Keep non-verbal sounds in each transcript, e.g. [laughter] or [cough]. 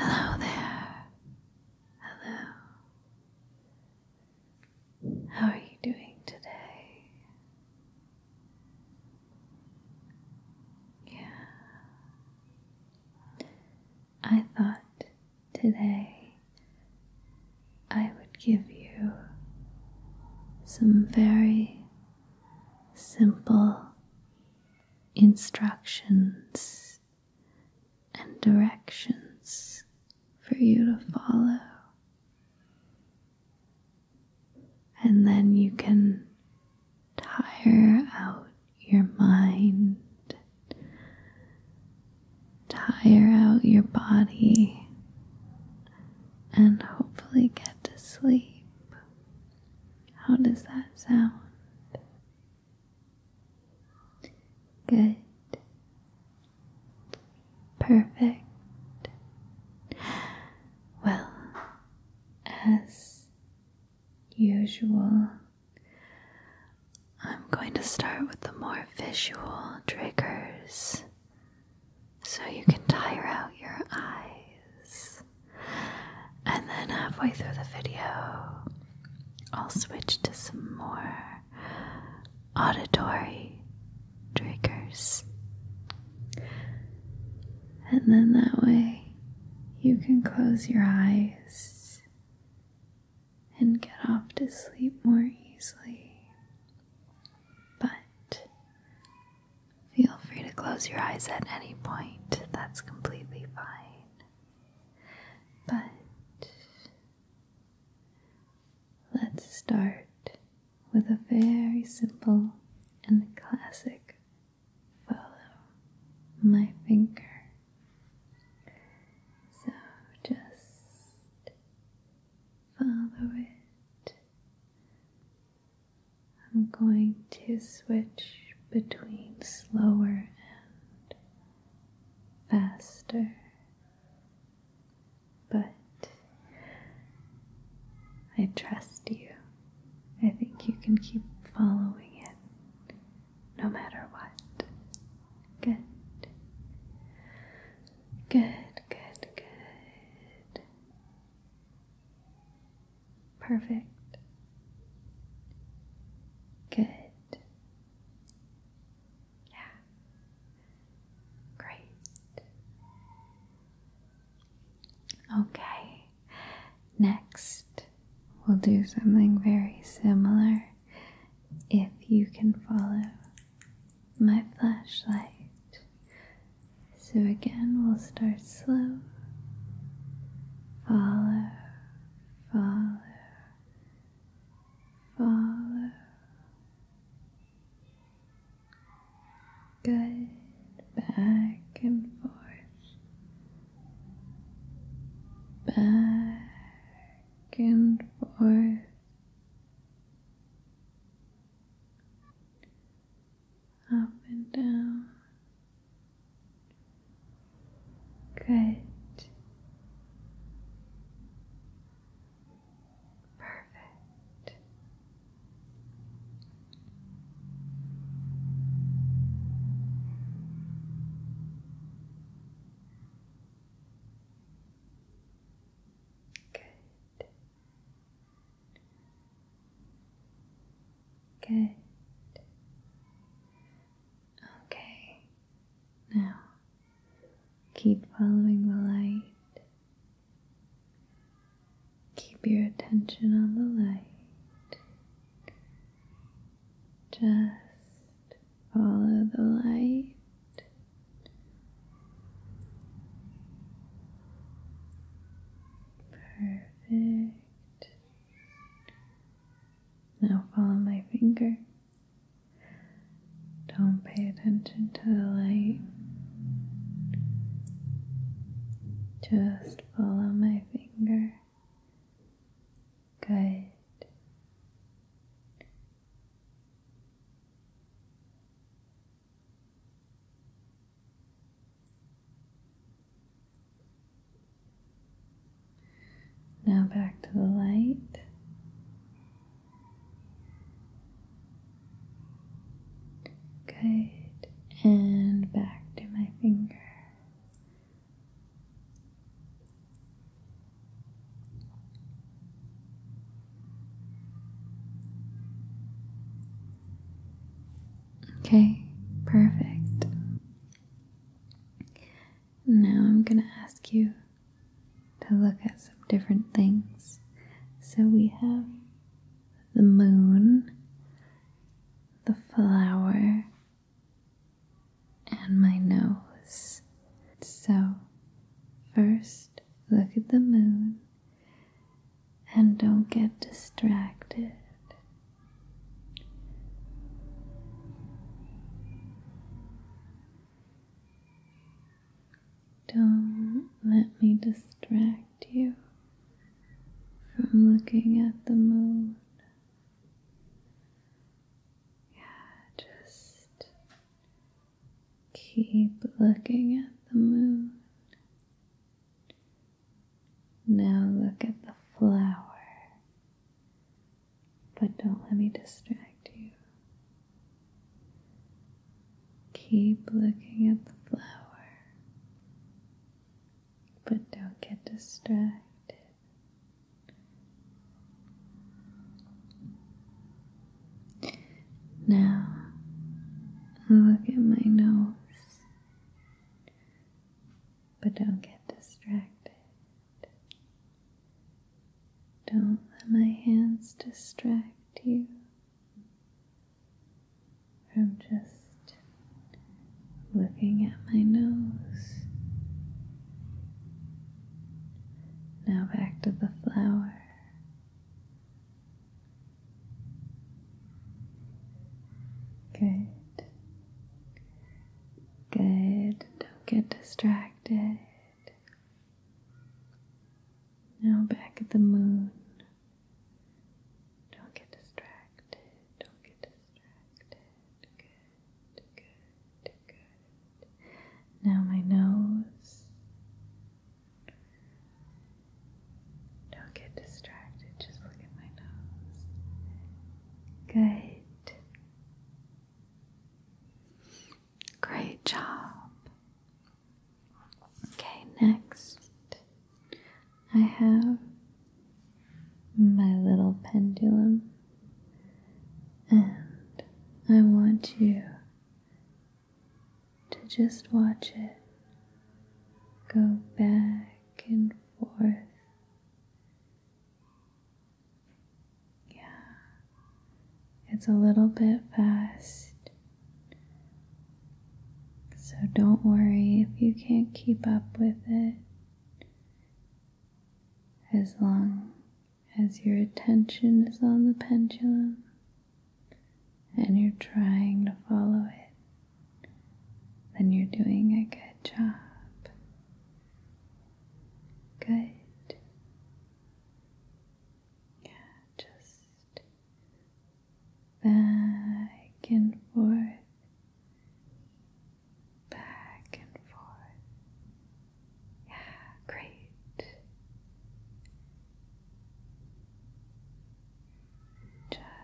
Hello there. Hello. How are you doing today? Yeah. I thought Today, I would give you some very simple instructions and directions for you to follow. And then you can tire out your mind, tire out your body, and hopefully get to sleep. How does that sound? Good. Perfect. Well, as usual. I'm going to start with the more visual triggers so you can tire out your eyes. And then halfway through the video, I'll switch to some more auditory triggers. And then that way you can close your eyes and get off to sleep more easily. But feel free to close your eyes at any point, that's completely fine. But let's start with a very simple and classic follow my finger so just follow it. I'm going to switch between slower and faster, but I trust you. I think you can keep following it no matter what. Good. Good, good, good. Perfect. Good. Yeah. Great. Okay. Next, we will do something very similar if you can follow my flashlight. So again, we'll start slow. Follow, follow, follow. Good. Back and forth back and forth. Up and down. Good. Perfect. Good. Good. Okay. Now, keep following the light. Keep your attention on the light. Just follow the light. Perfect. Now follow my finger. Don't pay attention to the light. Just follow my finger Good. Now back to the light. Good. And back to my finger. Okay, perfect. Now I'm going to ask you to look at some different things. So we have the moon, the flower, and my nose. So, first look at the moon and don't get distracted. Don't let me distract you from looking at the moon. Yeah, just keep looking at the moon. Now look at the flower. But don't let me distract you. Keep looking at the flower, but don't get distracted. Now, look at my nose, but don't get distracted. Don't let my hands distract you from just looking at my nose. Now back to the flower. Okay. Good. Don't get distracted. Now back at the moon. Don't get distracted. Don't get distracted good, good, good. Now my nose. Don't get distracted, just look at my nose. Good. Great job. Okay, next I have my little pendulum, and I want you to just watch it go back and forth. Yeah, it's a little bit fast. So don't worry if you can't keep up with it as long as your attention is on the pendulum and you're trying to follow it, then you're doing a good job. Good. Yeah, just back and forth back and forth. Yeah, great.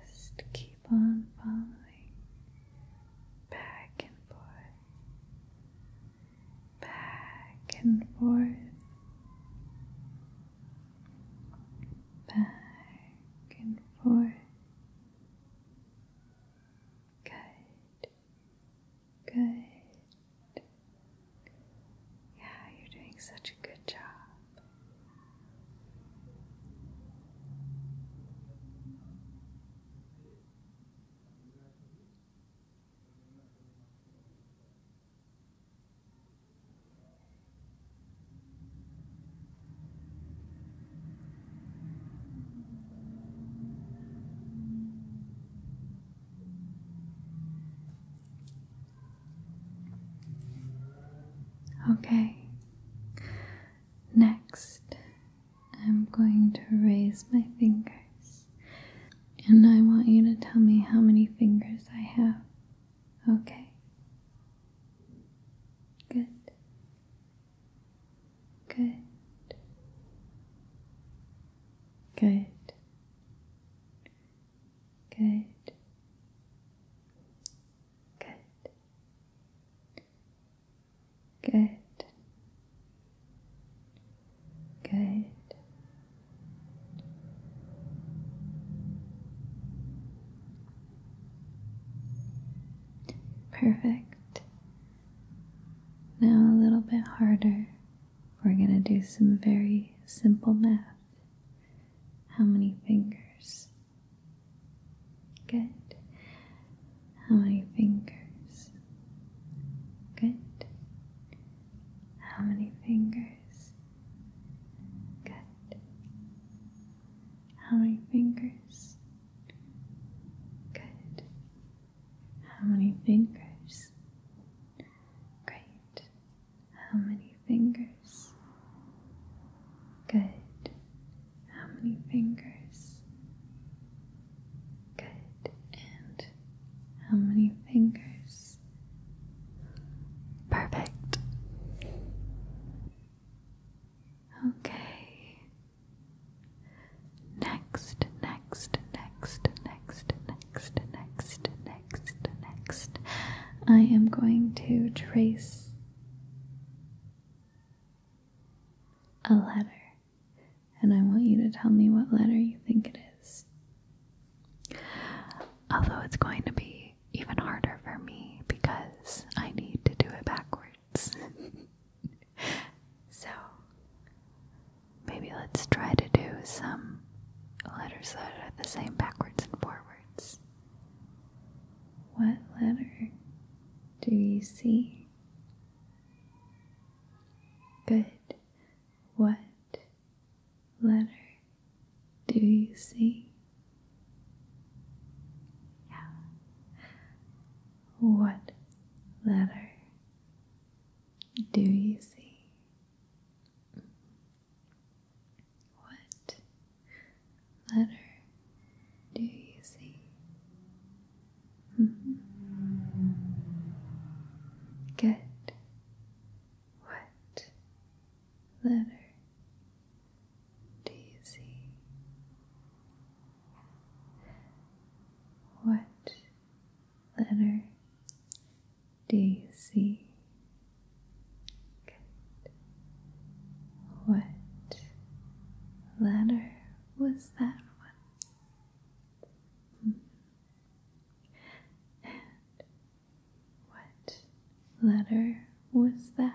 Just keep on following back and forth, back and forth, back and forth, Good. Good. Yeah, you're doing such a good job. Okay, next I'm going to raise my fingers, and I want you to tell me how many fingers I have. Okay, good. Good. Good. Good. Good. Good. Good. Perfect. Now a little bit harder. We're going to do some very simple math. How many fingers? Good. How many fingers? Good. How many fingers? Good. How many fingers? Good. How many fingers? Great. How many fingers? Good. How many fingers? Good. And how many fingers? Perfect. Okay. Next, next, next, next, next, next, next, next. I am going to trace a letter, and I want you to tell me what letter you think it is. Although it's going to be even harder for me because I need to do it backwards. [laughs] so maybe let's try to do some letters that are the same backwards and forwards. What letter do you see? Good. What letter do you see? Yeah. What letter do you see? What letter do you see? Mm-hmm. Get What letter do what letter do you see? What letter was that one? And what letter was that?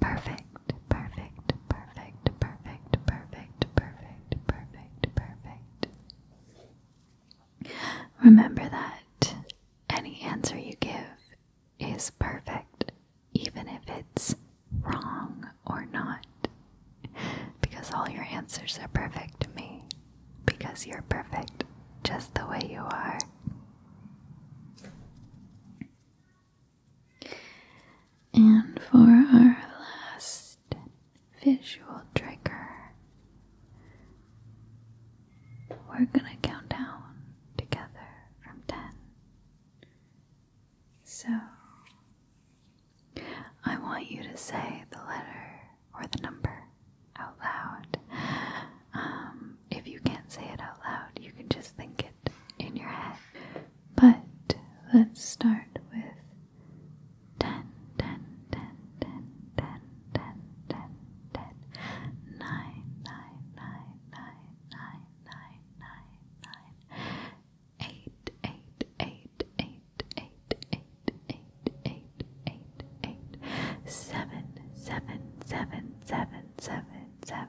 Perfect, perfect, perfect, perfect, perfect, perfect, perfect, perfect. Remember that any answer you give is perfect, even if it's wrong or not. Because all your answers are perfect to me. Because you're perfect just the way you are. And for our last visual trigger, we're going to count down together from 10. So, I want you to say the letter or the number out loud. Um, if you can't say it out loud, you can just think it in your head. But let's start with 10, 8, 8, 8, 8, 7, 7, 7, 7, 7,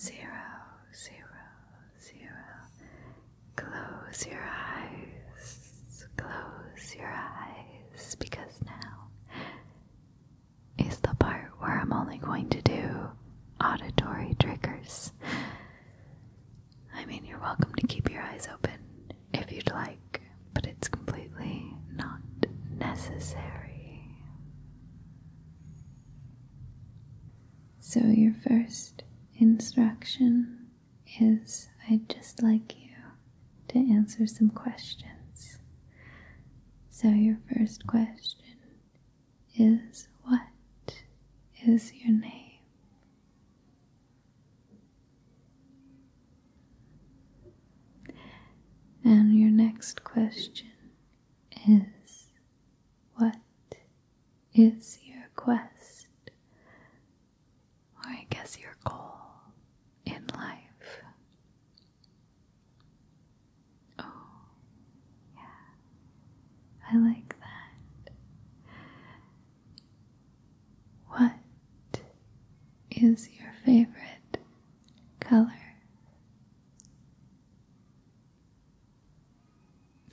zero, zero, zero. Close your eyes, close your eyes, because now is the part where I'm only going to do auditory triggers. I mean, you're welcome to keep your eyes open if you'd like, but it's completely not necessary. So, your first instruction is I'd just like you to answer some questions. So, your first question is What is your name? And your next question is What is your quest, or I guess your goal in life. Oh, yeah, I like that. What is your favorite color?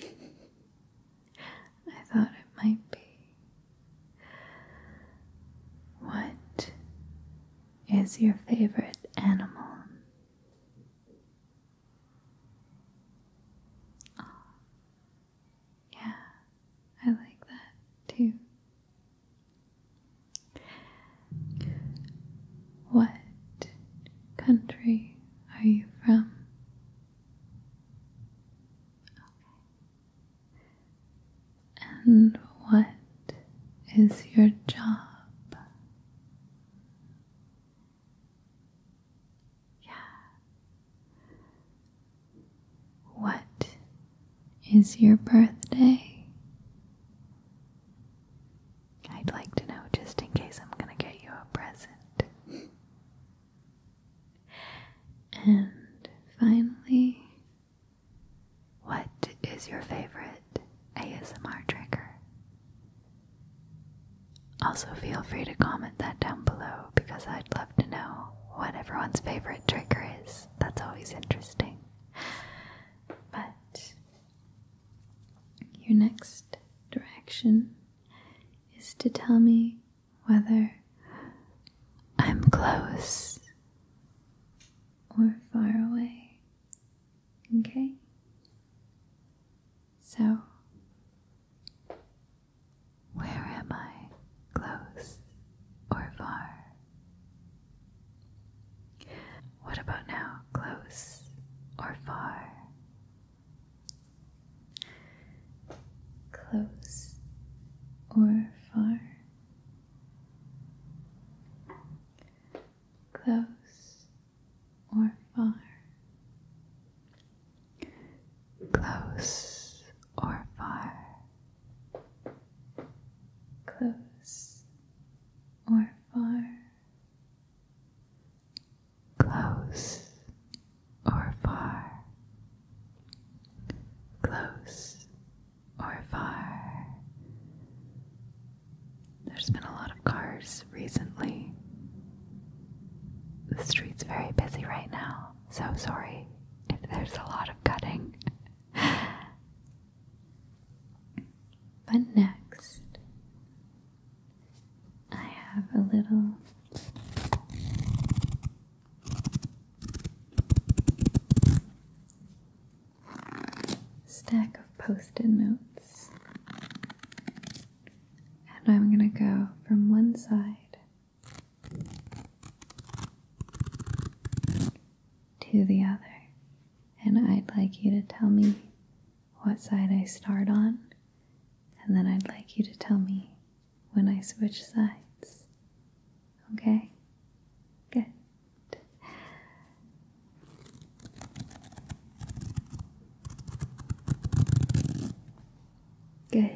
I thought it might be. What is your favorite animal? Oh, yeah, I like that too. What country are you from? And what is your job? Yeah. What is your birthday? I'd like to know just in case I'm gonna get you a present. and finally, what is your favorite ASMR trigger? Also, feel free to comment that down below because I'd love to know what everyone's favorite trigger is. That's always interesting. But your next direction is to tell me whether I'm close or far away. Okay? So, where am I? Close or far? What about now? Close or far? close or far, close or far, close or far, close or far close or far, close or far. There's been a lot of cars recently. The street's very busy right now, so sorry if there's a lot of cutting. [laughs] but next, I have a little stack of post it notes, and I'm going to go from one side to the other. And I'd like you to tell me what side I start on and then I'd like you to tell me when I switch sides. Okay? Good. Good.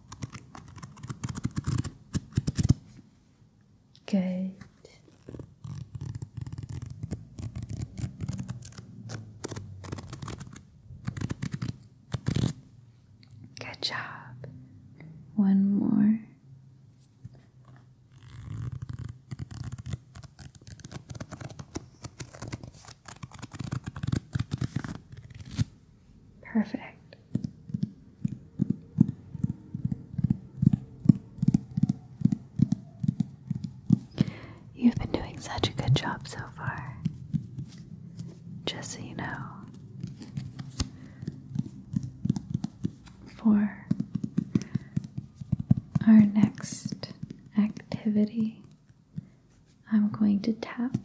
Good. Good job. One more. Perfect. You've been doing such a good job so far. Just so you know. For our next activity, I'm going to tap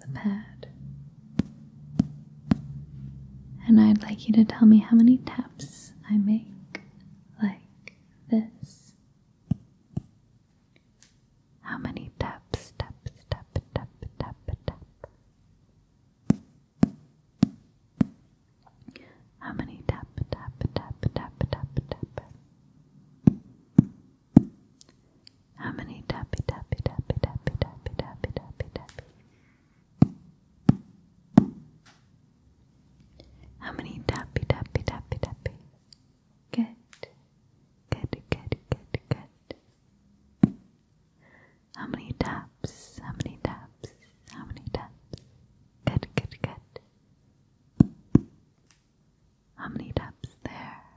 the pad. And I'd like you to tell me how many taps I make like this. How many taps, taps, tap, tap, tap, tap? How many tap, tap, tap, tap, tap, tap? How many tappy tappy tappy tappy tappy tappy tappy tappy? How many tappy tappy tappy tappy? Good. Good, good, good, good. How many taps? How many taps? How many taps? Good, good, good. How many taps there?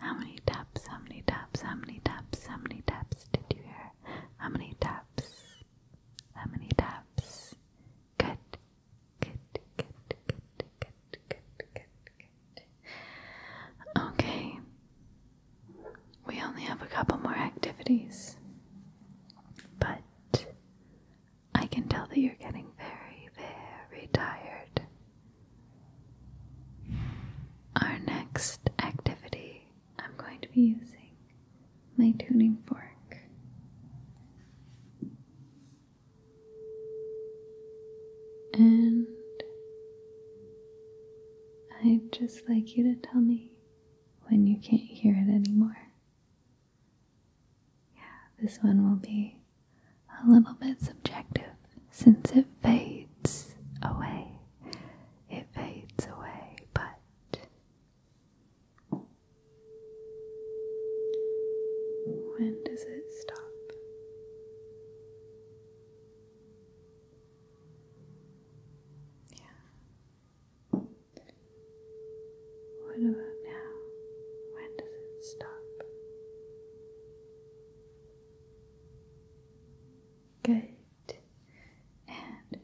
How many taps? How many taps? How many taps? How many taps did you hear? How many taps? How many taps? Good. Good, good, good, good, good, good, Okay. We only have a couple more activities. But I can tell that you're getting very, very tired. Our next activity, I'm going to be using my tuning fork. And I'd just like you to tell me when you can't hear it anymore. Yeah, this one will be a little bit subjective since it fades away. It fades away, but when does it stop? Yeah. What about now? When does it stop? Good. And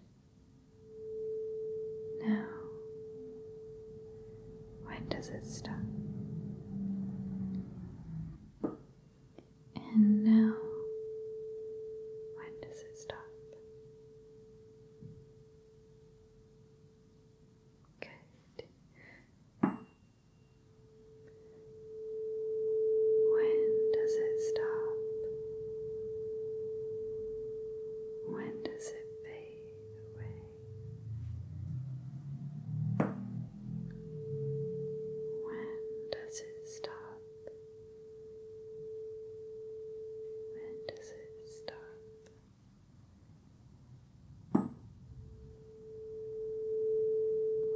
now, when does it stop? And now, when does it stop? Good. When does it stop? When does it fade away? When does it stop? When does it stop?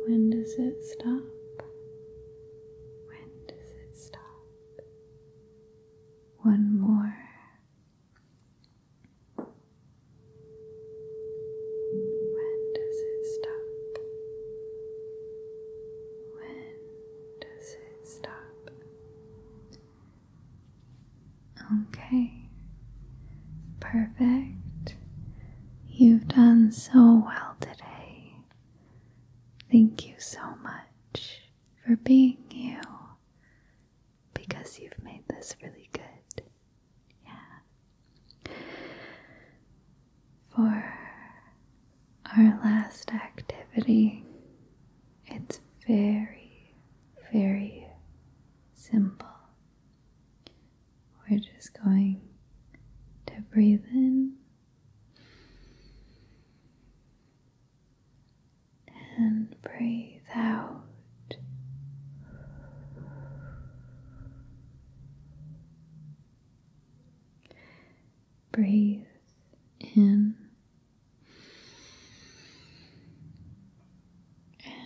When does it stop? When does it stop? One more. When does it stop? When does it stop? Okay, perfect. You've done so well today. Thank you so much for being you because you've made this really good. Yeah. For our last activity, it's very, very simple we're just going to breathe in and breathe out. Breathe in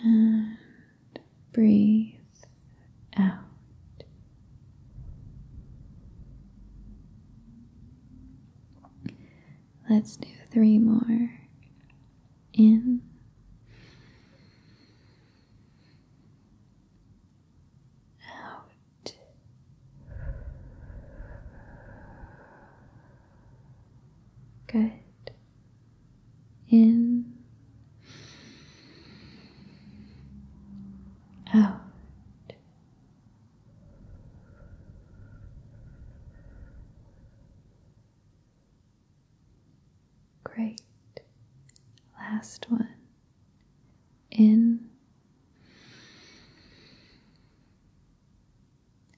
and breathe out. Let's do three more. In out. Good in, out. Great. Last one. In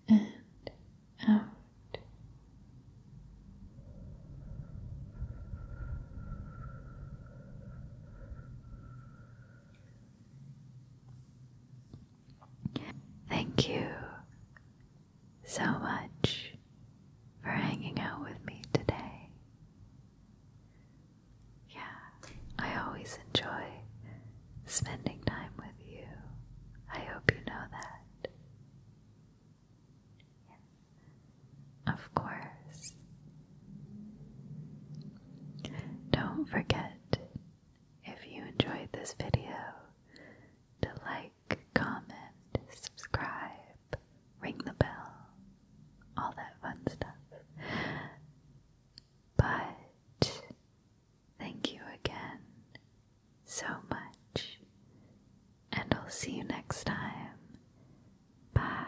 and out. Thank you so much for hanging out with me today. Yeah, I always enjoy spending time with you. I hope you know that. Of course. Don't forget, if you enjoyed this video, to like, comment, subscribe, ring the bell, all that fun stuff. But thank you again so much, and I'll see you next time. Bye.